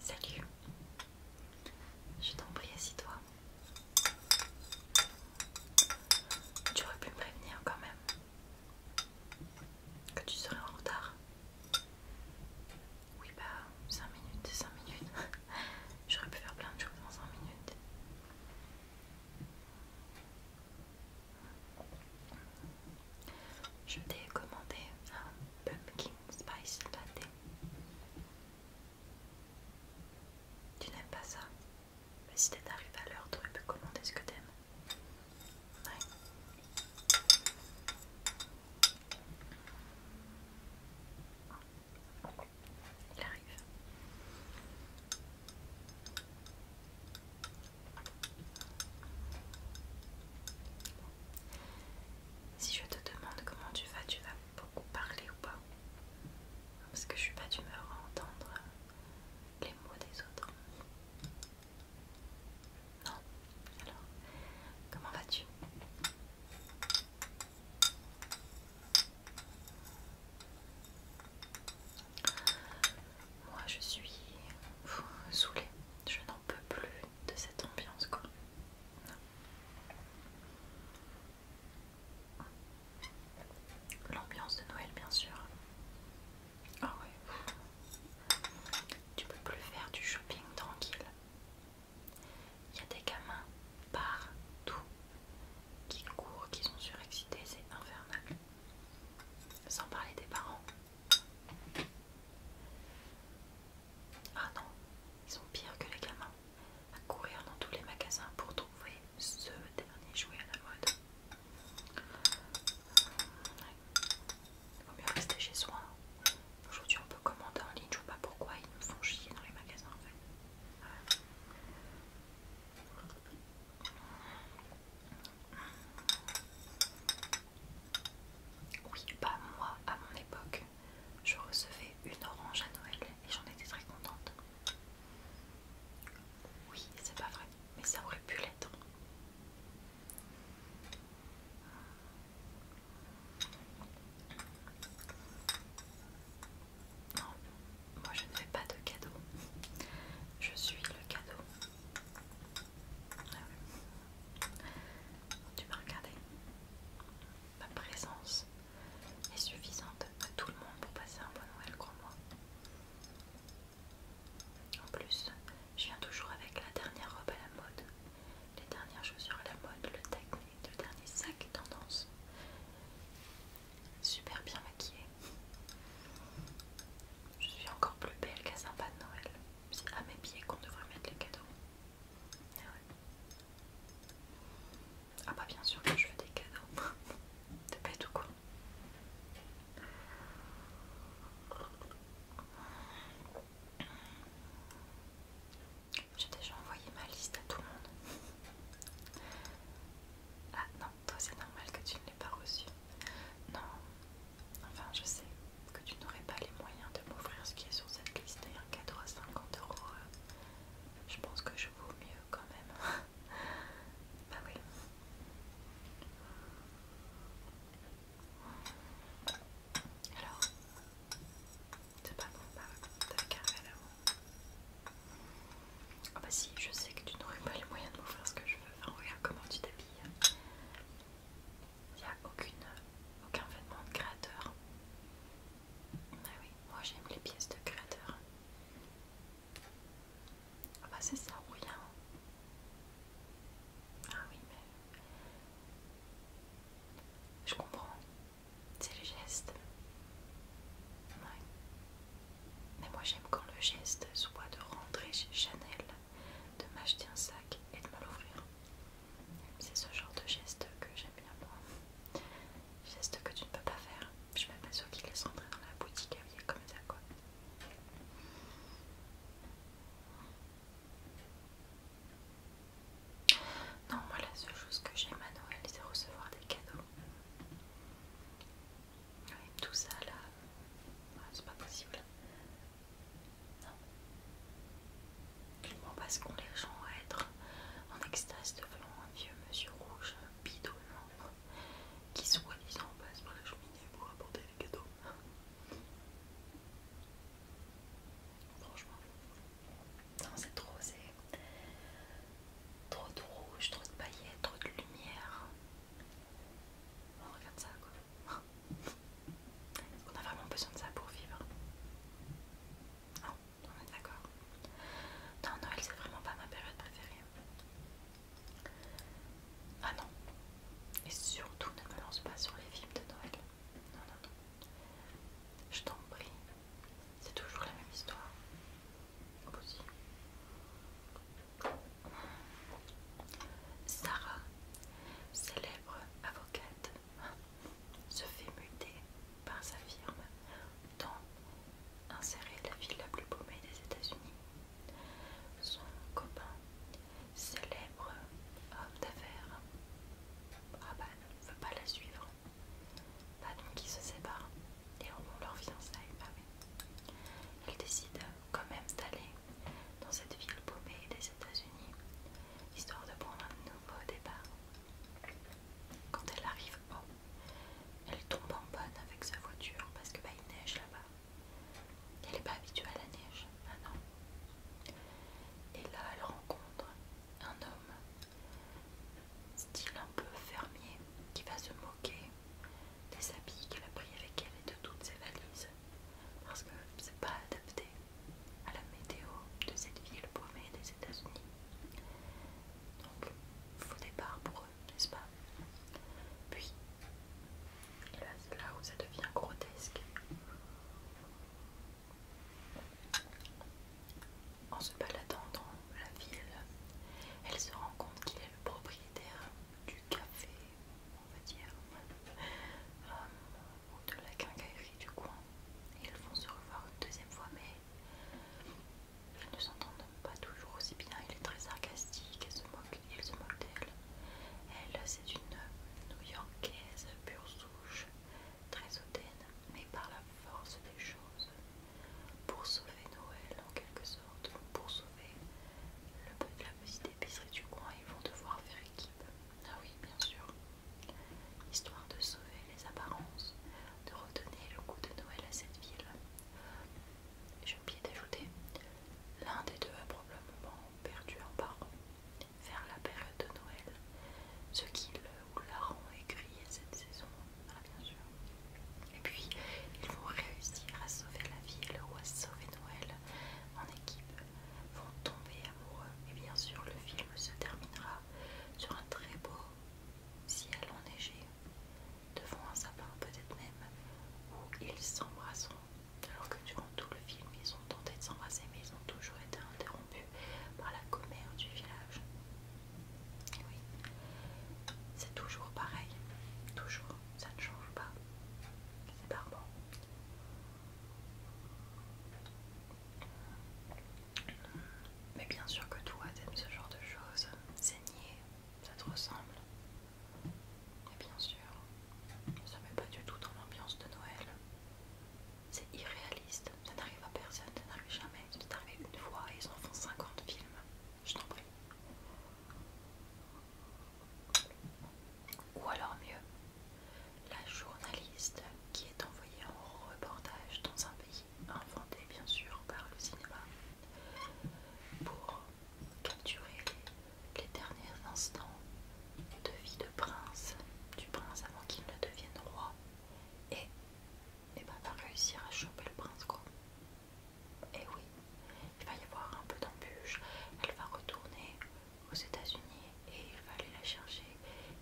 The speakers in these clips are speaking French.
Salut. Je t'en prie, assis-toi. Tu aurais pu me prévenir quand même que tu serais en retard. Oui, bah 5 minutes, 5 minutes. J'aurais pu faire plein de choses en 5 minutes. Je t'ai commandé un pumpkin spice pâté, Tu n'aimes pas ça Mais si t'es à l'heure, t'aurais pu commander ce que t'aimes. Ouais. Il arrive. Si je te demande comment tu vas, tu vas beaucoup parler ou pas Parce que je suis pas d'humeur à entendre les mots des autres. Non Alors, comment vas-tu Moi je suis saoulée je n'en peux plus de cette ambiance quoi. L'ambiance de Noël bien sûr. Ah ouais. Tu peux plus faire du shopping tranquille. Il y a des gamins partout qui courent, qui sont surexcités, c'est infernal. Sans parler des parents ah non, ils sont pires que les gamins, à courir dans tous les magasins pour trouver ce dernier jouet à la mode. Il vaut mieux rester chez soi. Hein. Aujourd'hui on peut commander en ligne, je ne vois pas pourquoi ils nous font chier dans les magasins en fait. Oui, pas bah, moi, à mon époque, je recevais une orange à Noël et j'en étais très contente. Oui, c'est pas vrai, mais ça aurait pu l'être. Non, moi je ne fais pas de cadeaux. Je suis le cadeau. Ah tu m'as regardé Ma présence est suffisante à tout le monde pour passer un bon Noël, crois-moi. En plus, je viens toujours avec la dernière robe à la mode, les dernières chaussures à la mode, le technique, le dernier sac tendance. Super bien maquillée. Je suis encore plus belle qu'à Saint-Pas de Noël. C'est à mes pieds qu'on devrait mettre les cadeaux. Ah, pas bah bien sûr que je veux des cadeaux. T'es bête ou quoi J'ai déjà envoyé ma liste à tout le monde. Ah non, toi c'est normal que tu ne l'aies pas reçue. Non, Enfin, je sais que tu n'aurais pas les moyens de m'offrir ce qui est sur cette liste et un à 50 euros. Euh, je pense que je vaux mieux quand même. bah oui. Alors, c'est pas bon, bah t'avais carré là Ah bah si, je sais que tu n'aurais pas les moyens de m'offrir ce que je veux. Enfin, regarde comment tu t'habilles. Il n'y a aucune, aucun vêtement de créateur. Ah oui, moi j'aime les pièces de créateur. Ah bah c'est ça ou rien. Hein. Ah oui, mais... Je comprends. C'est le geste. Mais moi j'aime quand le geste soit de rentrer chez Chanel de m'acheter un sac et de me l'ouvrir. C'est ce genre de geste que j'aime bien moi. Geste que tu ne peux pas faire. Je suis même pas sûre qu'il laissent rentrer dans la boutique habillée comme ça quoi. Non, moi la seule chose que j'aime à Noël c'est recevoir des cadeaux. tout ça là, c'est pas possible. Non. passe' qu'on les gens à être en extase devant un vieux monsieur rouge bidon qui soi-disant passe par la cheminée pour apporter les cadeaux. Franchement, non, c'est trop, trop de rouge, trop de paillettes, trop de lumière. On regarde ça quoi. Est-ce qu'on a vraiment besoin de ça pour vivre Non, on est d'accord. Non, Noël, c'est vraiment pas ma période préférée. Ah non. Et surtout, ne me lance pas sur les films de Noël. Non, non, non. Je t'en prie. C'est toujours la même histoire. aussi. Sarah, célèbre avocate, se fait muter par sa firme dans insérer la ville la plus paumée des États-Unis. Son copain, célèbre homme d'affaires, ah bah, ne veut pas la suivre. donc ils se séparent et ont leur fiançailles. Elle décide quand même d'aller dans cette ville paumée des États-Unis, histoire de prendre un nouveau départ. Quand elle arrive oh, elle tombe en bonne avec sa voiture parce que bah, neige là-bas. Elle n'est pas habituée à la neige, maintenant. Ah non. Et là, elle rencontre un homme, style un peu fermier, qui va se moquer des habits qu'elle a pris avec elle et de toutes ses valises, parce que c'est pas adapté à la météo de cette ville paumée des États-Unis. Donc, faux départ pour eux, n'est-ce pas Puis, là, là où ça devient grotesque. En se baladant dans la ville, elle se rend compte qu'il est le propriétaire du café, on va dire, euh, ou de la quincaillerie du coin. ils vont se revoir une deuxième fois, mais ils ne s'entendent pas toujours aussi bien. Il est très sarcastique, il se moque, d'elle. Elle, c'est une new-yorkaise pure souche, très hautaine, mais par la force des choses, pour sauver Noël en quelque sorte, pour sauver le, de la petite d'épicerie du coin, ils vont devoir faire équipe. Ah oui, bien sûr. Histoire de sauver les apparences, de redonner le goût de Noël à cette ville. J'ai oublié d'ajouter, l'un des deux a probablement perdu un parent vers la période de Noël, ce qui le ou la rend aigri cette saison. Ah bien sûr. Et puis, ils vont réussir à sauver la ville ou à sauver Noël en équipe vont tomber amoureux et bien sûr le film se terminera sur un très beau ciel enneigé devant un sapin peut-être même où ils s'embrasseront alors que durant tout le film ils ont tenté de s'embrasser mais ils ont toujours été interrompus par la commère du village. Oui, c'est toujours pareil, toujours ça ne change pas. C'est barbant. Mais bien sûr que toi t'aimes ce genre de choses. Saigner, ça te ressemble. Et bien sûr, ça met pas du tout dans l'ambiance de Noël. C'est irréaliste, ça n'arrive à personne, ça n'arrive jamais. Ça arrivé une fois et ils en font 50 films je t'en prie. Ou alors mieux, la journaliste qui est envoyée en reportage dans un pays inventé bien sûr par le cinéma pour capturer les derniers instants de vie de prince, du prince avant qu'il ne devienne roi et, et eh va ben, réussir à choper le prince quoi. Et eh oui, il va y avoir un peu d'embûches. Elle va retourner aux États-Unis et il va aller la chercher.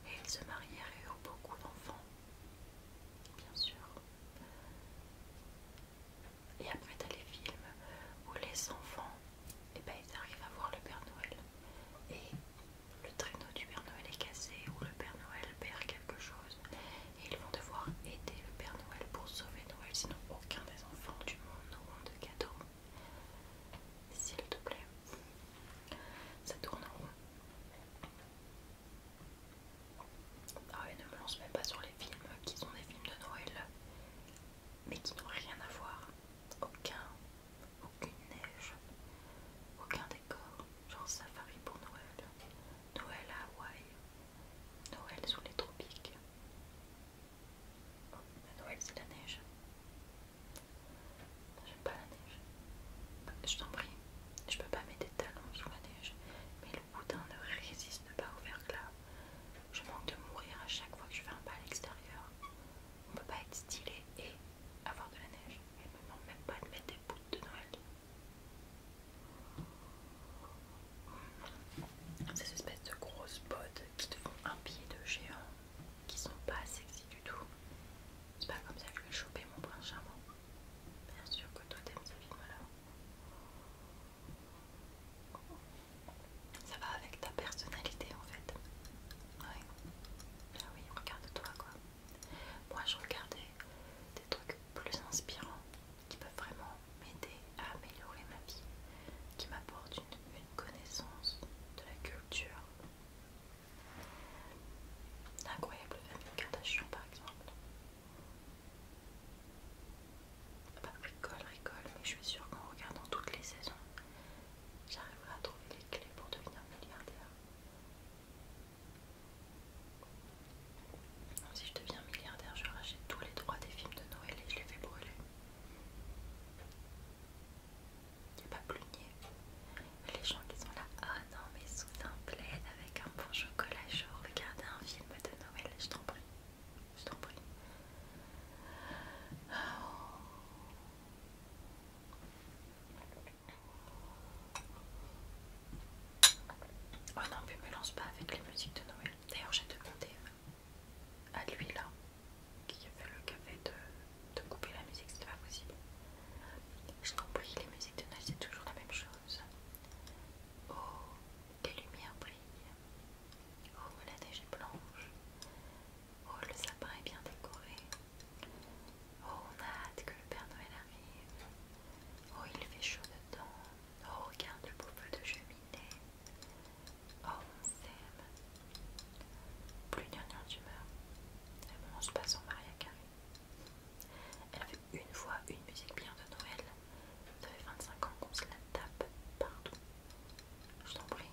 Et ils se marieront, et beaucoup d'enfants. Bien sûr. Et après, t'as les films où les enfants, et eh ben, ils arrivent à voir le Père Noël. Et le traîneau du Père Noël est cassé ou le Père Noël perd quelque chose. Et ils vont devoir aider le Père Noël pour sauver Noël, sinon aucun les enfants du monde ont de cadeaux, s'il te plaît. Ça tourne en rond. Ah ne me lance même pas sur les films qui sont des films de Noël, mais qui n'ont rien à voir. Aucun, aucune neige, aucun décor, genre safari pour Noël, Noël à Hawaï, Noël sous les tropiques. Oh, bah, Noël c'est la neige. J'aime pas la neige. Bah, je t'en prie, je peux pas mettre des talons sous la neige. Mais le boudin ne résiste pas au verglas. Je manque de mourir à chaque fois que je fais un pas à l'extérieur. On peut pas être stylé et avoir de la neige. Elle me manque même pas de mettre des bouts de Noël. Ces espèces de grosses bottes qui te font un pied de géant, qui sont pas sexy du tout. C'est pas comme ça que je vais choper mon prince charmant. Bien sûr que toi t'aimes ce film là Ça va avec ta personnalité en fait. Oui, Ah oui, regarde-toi quoi. Moi je regardais des trucs plus inspirants qui peuvent vraiment m'aider à améliorer ma vie, qui m'apportent une, connaissance de la culture. L'incroyable famille Kardashian par exemple. Bah, rigole, mais je suis sûre qu'en regardant toutes les saisons, j'arriverai à trouver les clés pour devenir milliardaire. Si je deviens milliardaire, je rachète tous les droits des films de Noël et je les fais brûler. Il a pas plus nier. Les gens qui sont là, oh non, mais sous un plaid avec un bon chocolat chaud, regarder un film de Noël, je t'en prie. Je t'en prie. Oh. non, mais me lance pas avec les musiques de Noël. D'ailleurs, j'ai demandé à lui là, qui fait le café, de, couper la musique, c'était pas possible. Je crois les musiques de Noël, c'est toujours la même chose. Oh, les lumières brillent. Oh, la neige est blanche. Oh, le sapin est bien décoré. Oh, on a hâte que le Père Noël arrive. Oh, il fait chaud dedans. Oh, regarde le beau feu de cheminée. Oh, on s'aime. Plus d'un tu meurs. Elle se mange pas son Maria Carré. Elle avait une fois une musique bien de Noël. 25 ans qu'on se la tape partout. Je t'en prie.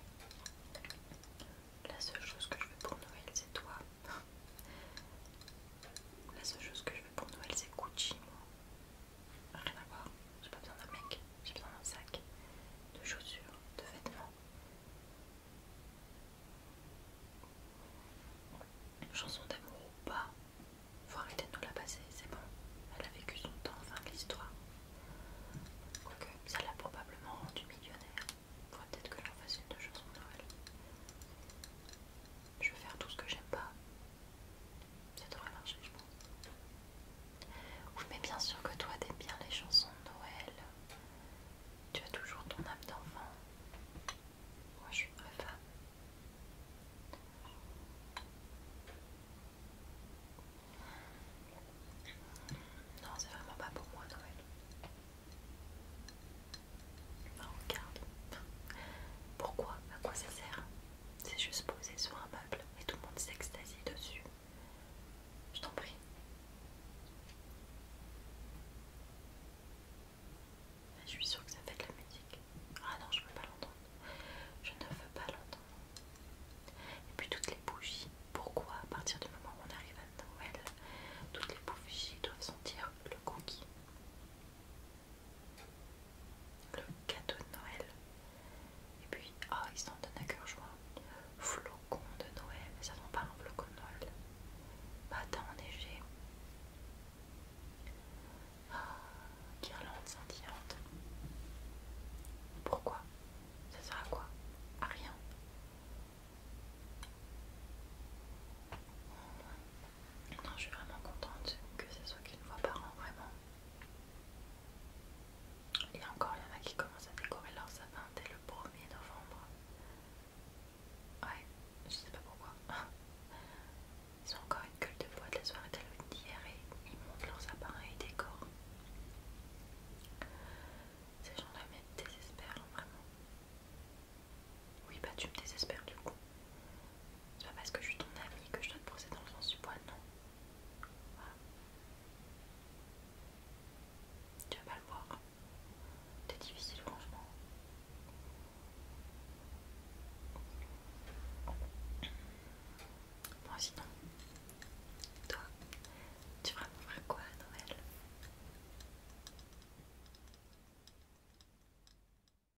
La seule chose que je veux pour Noël, c'est toi. La seule chose que je veux pour Noël, c'est Gucci, moi rien à voir. J'ai pas besoin d'un mec, j'ai besoin d'un sac, de chaussures, de vêtements. chanson d'amour ou pas, faut arrêter de nous la passer, c'est bon. Elle a vécu son temps, fin de l'histoire. Quoique, ça l'a probablement rendue millionnaire. Faudrait peut-être que j'en fasse une de chanson de Noël je vais faire tout ce que j'aime pas. Ça devrait marcher, je pense. mais bien sûr que toi, t'aimes bien les chansons de Noël. Tu as toujours ton âme d'enfant. Moi, je suis une femme. Non, c'est vraiment pas pour moi, Noël. Enfin, bah, regarde. Pourquoi À quoi ça sert c'est juste posé sur un meuble et tout le monde s'extasie dessus. Je t'en prie. Je suis sûre que ça fait de la musique. Ah non, je ne veux pas l'entendre. Je ne veux pas l'entendre. Et puis toutes les bougies. Pourquoi à partir du moment où on arrive à Noël, toutes les bougies doivent sentir le cookie le cadeau de Noël. Et puis, ah, ils sont donnent à cœur joie. Flocon de Noël, ça ne pas un flocon de Noël. Bâton enneigé. Ah, guirlande scintillante. Pourquoi Ça sert à quoi À rien. Non, je suis vraiment contente que ce soit qu'une fois par an, vraiment. Et encore, il y en a qui commencent à décorer leur sapin dès le 1er novembre. Ouais, je sais pas pourquoi. Ils ont encore une gueule de voix de la soirée d'Halloween d'hier et ils montent leurs sapins et ils décorent. Ces gens-là me désespèrent, vraiment. Oui, bah tu me désespères du coup. C'est pas parce que je suis ton ami que je dois te poser dans le sens du poil, non. Tu vas pas le voir. C'est difficile, franchement. Bon, sinon, toi, tu vas m'offrir quoi à Noël?